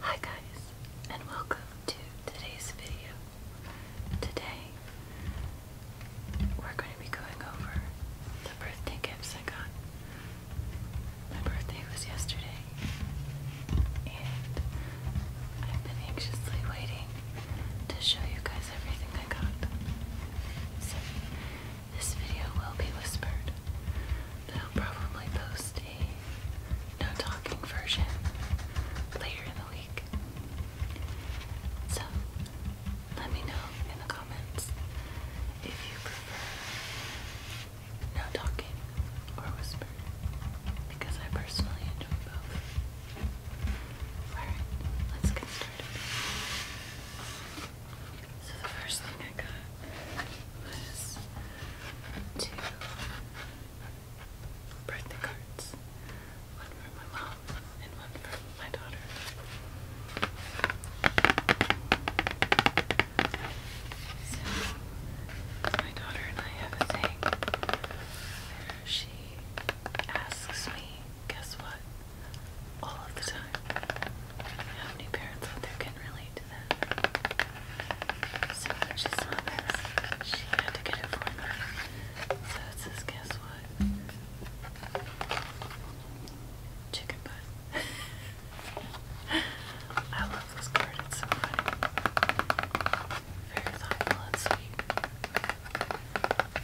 Hi guys, and welcome to today's video. Today, we're going to be going over the birthday gifts I got. My birthday was yesterday, and I've been anxiously waiting to show you guys everything I got. So, this video will be whispered, but will probably post a no talking version later in the week. So, let me know in the comments if you prefer no talking or whisper, because I personally enjoy both. Alright, let's get started. So the first thing I got was two birthday cards. One for my mom and one for my daughter. So my daughter and I have a thing where she asks me, guess what? all of the time. How many parents out there can relate to that? So when she saw this, she had to get it for me. So it says, guess what? Chicken butt. I love this card, it's so funny. Very thoughtful and sweet.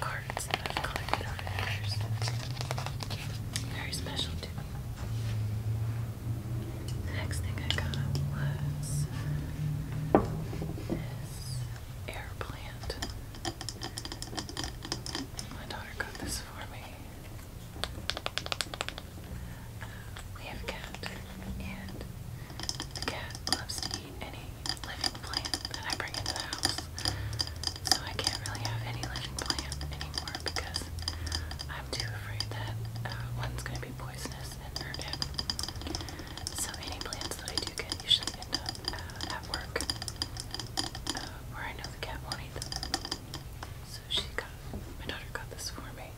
cards I've collected over the years. Very special to next thing I got was this air plant. My daughter got this for me. we have a cat, and the cat loves to eat any living plant that I bring into the house. So I can't really have any living plant anymore because I'm too afraid that uh, one's going to be poisonous and hurt him. So any plants that I do get usually end up uh, at work uh, where I know the cat won't eat them. So she got, my daughter got this for me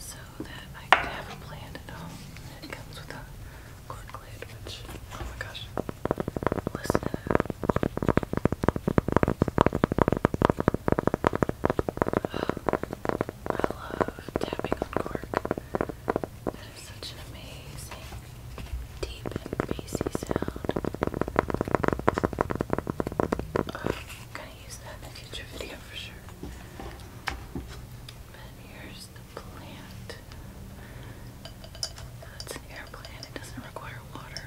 so that I could have a plant at home. It comes with a Corkland, which, oh my gosh, listen to I love tapping on cork. That is such an amazing, deep and bassy sound. I'm gonna use that in a future video for sure. But here's the plant. It's an air It doesn't require water,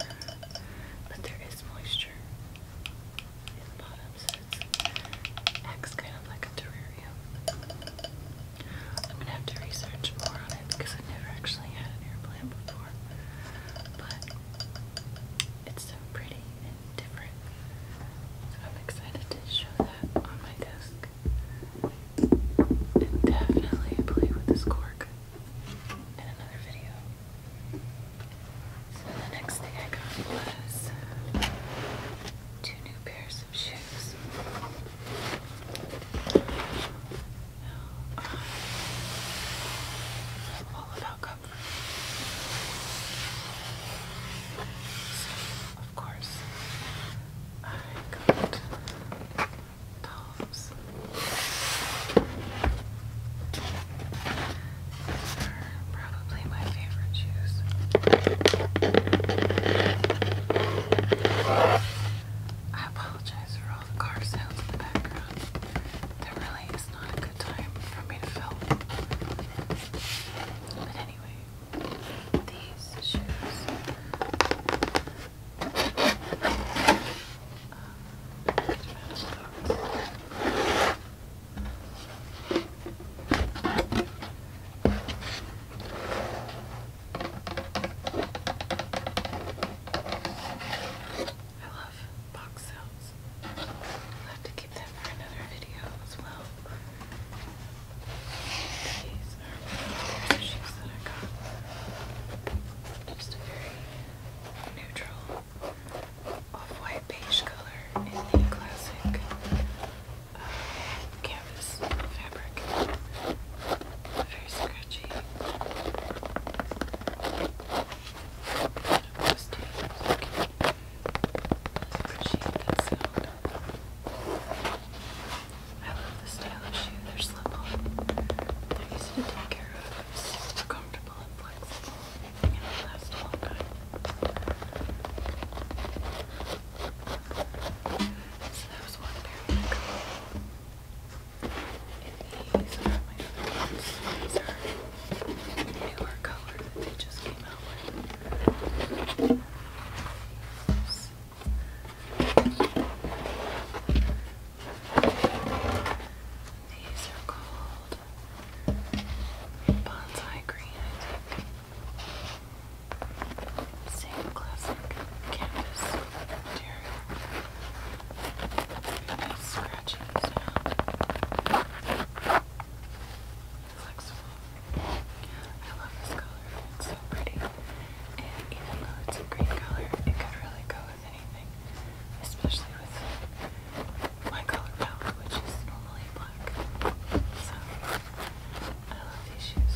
but there is moisture in the bottom, so it kind of like a terrarium. I'm gonna have to research more on it because i never actually had an air before, but it's so pretty and different. I'm excited to show that on my desk back and definitely play with this cork in another video. So the next thing I got was two new pairs of shoes. Now, I'm all about comfort of course. I got Dolls. These are probably my favorite shoes. I apologize for all the car sounds in the background. There really is not a good time for me to film. But anyway, I love box sounds. I'll have to keep that for another video as well. These are the sheets that I got. Just a very neutral off-white beige color in the classic uh, canvas fabric. Very scratchy. Kind of I love this style of shoe. They're slip-on. They're easy to take care of. It's super comfortable and flexible. they last a long time. So that was one pair of newer color that they just came out with. These are called Bonsai Green, I think. Same classic canvas material. Very nice scrap scratching sound. Flexible. I love this color. It's so pretty. And even though it's a green color, it could really go with anything. Especially with my color palette, which is normally black. So, I love these shoes.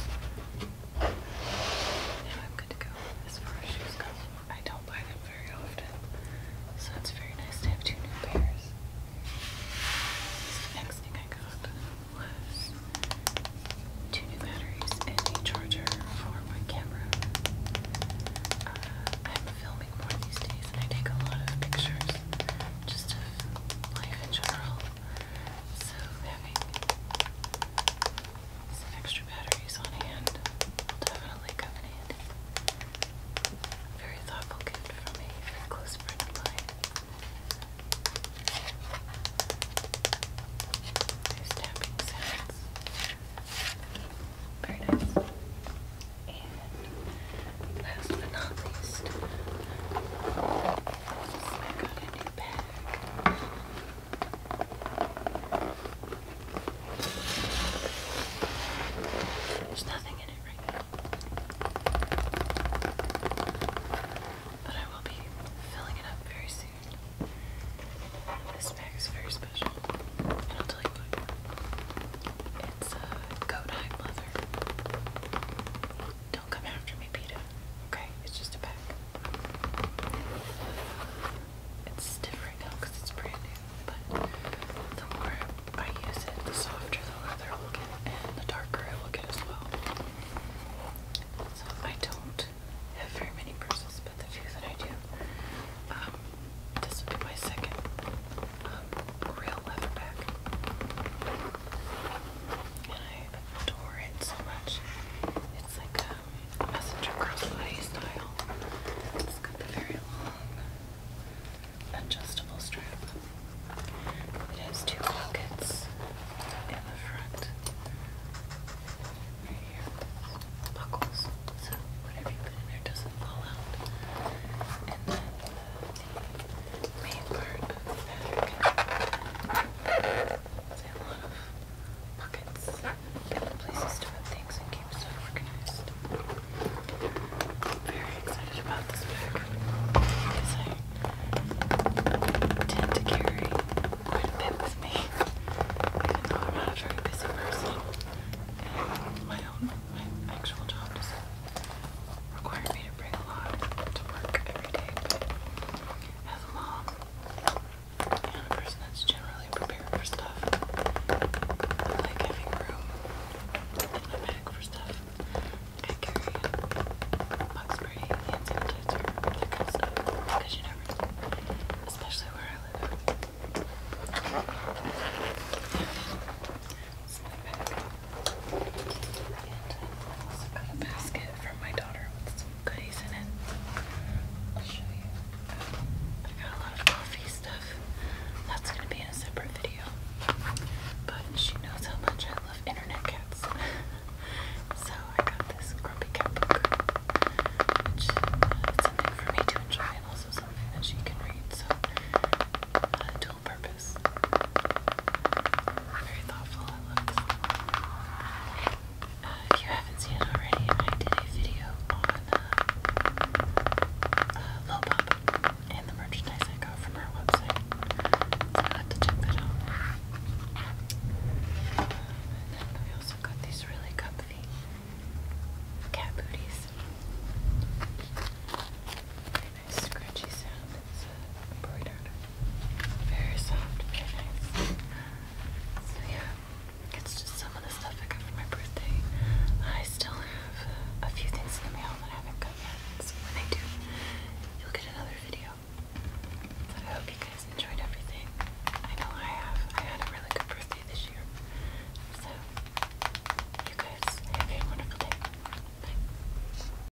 Now I'm good to go as far as shoes go. I don't buy them very often, so it's very nice to have two new pairs. next thing I got was two new batteries and a charger for my camera. Uh, I'm filming more these days, and I take a lot of pictures just of life in general. So having some extra batteries on hand definitely come in Very thoughtful gift from a very close friend of mine. Very nice. And last but not least, I got a new there's nothing in it right now. But I will be filling it up very soon. This bag is very special. And I'll tell you what. It's a uh, goat hide leather. Don't come after me, PETA. Okay? It's just a bag it's different now because it's brand new, but the more I use it, the softer the leather will get and the darker it will get as well. So I don't have very many bristles, but the few that I do, um, this will be my second um, real leather bag. And I adore it so much. It's like a messenger crossbody style. It's got the very long adjustable strap. It has two pockets in the front. Right here. Buckles. So whatever you put in there doesn't fall out. And then the main part of the It's a lot of pockets and places to put things and keep stuff organized. I'm very excited about this bag because I tend to carry quite a bit with me. Even though I'm not a very busy person, and my own, my actual job require me to bring a lot to work every day. as a mom, and a person that's generally prepared for stuff. I like having room in my bag for stuff. I carry box spray, hand sanitizer, Because you never know. Especially where I live. It's my bag. And I also got a basket from my daughter goodies in it. I'll show you. I got a lot of coffee stuff. That's gonna be in a separate video. But she knows how much I love internet cats. so I got this grumpy cat book, which uh, it's something for me to enjoy also something that she can read. So uh, dual purpose. Very thoughtful it looks. Uh, if you haven't seen it already, I did a video on uh, uh, Lil and the merchandise I got from her website. So i have to check that out. and then I also got these really comfy cat booties. Very nice scratchy sound embroidered. Very soft, very nice. yeah, it's just some of the stuff I got for my birthday. I still have a few things in the mail that haven't got yet. when I do, you'll get another video. I hope you guys enjoyed everything. I know I have. I had a really good birthday this year. So you guys have a wonderful day. Bye.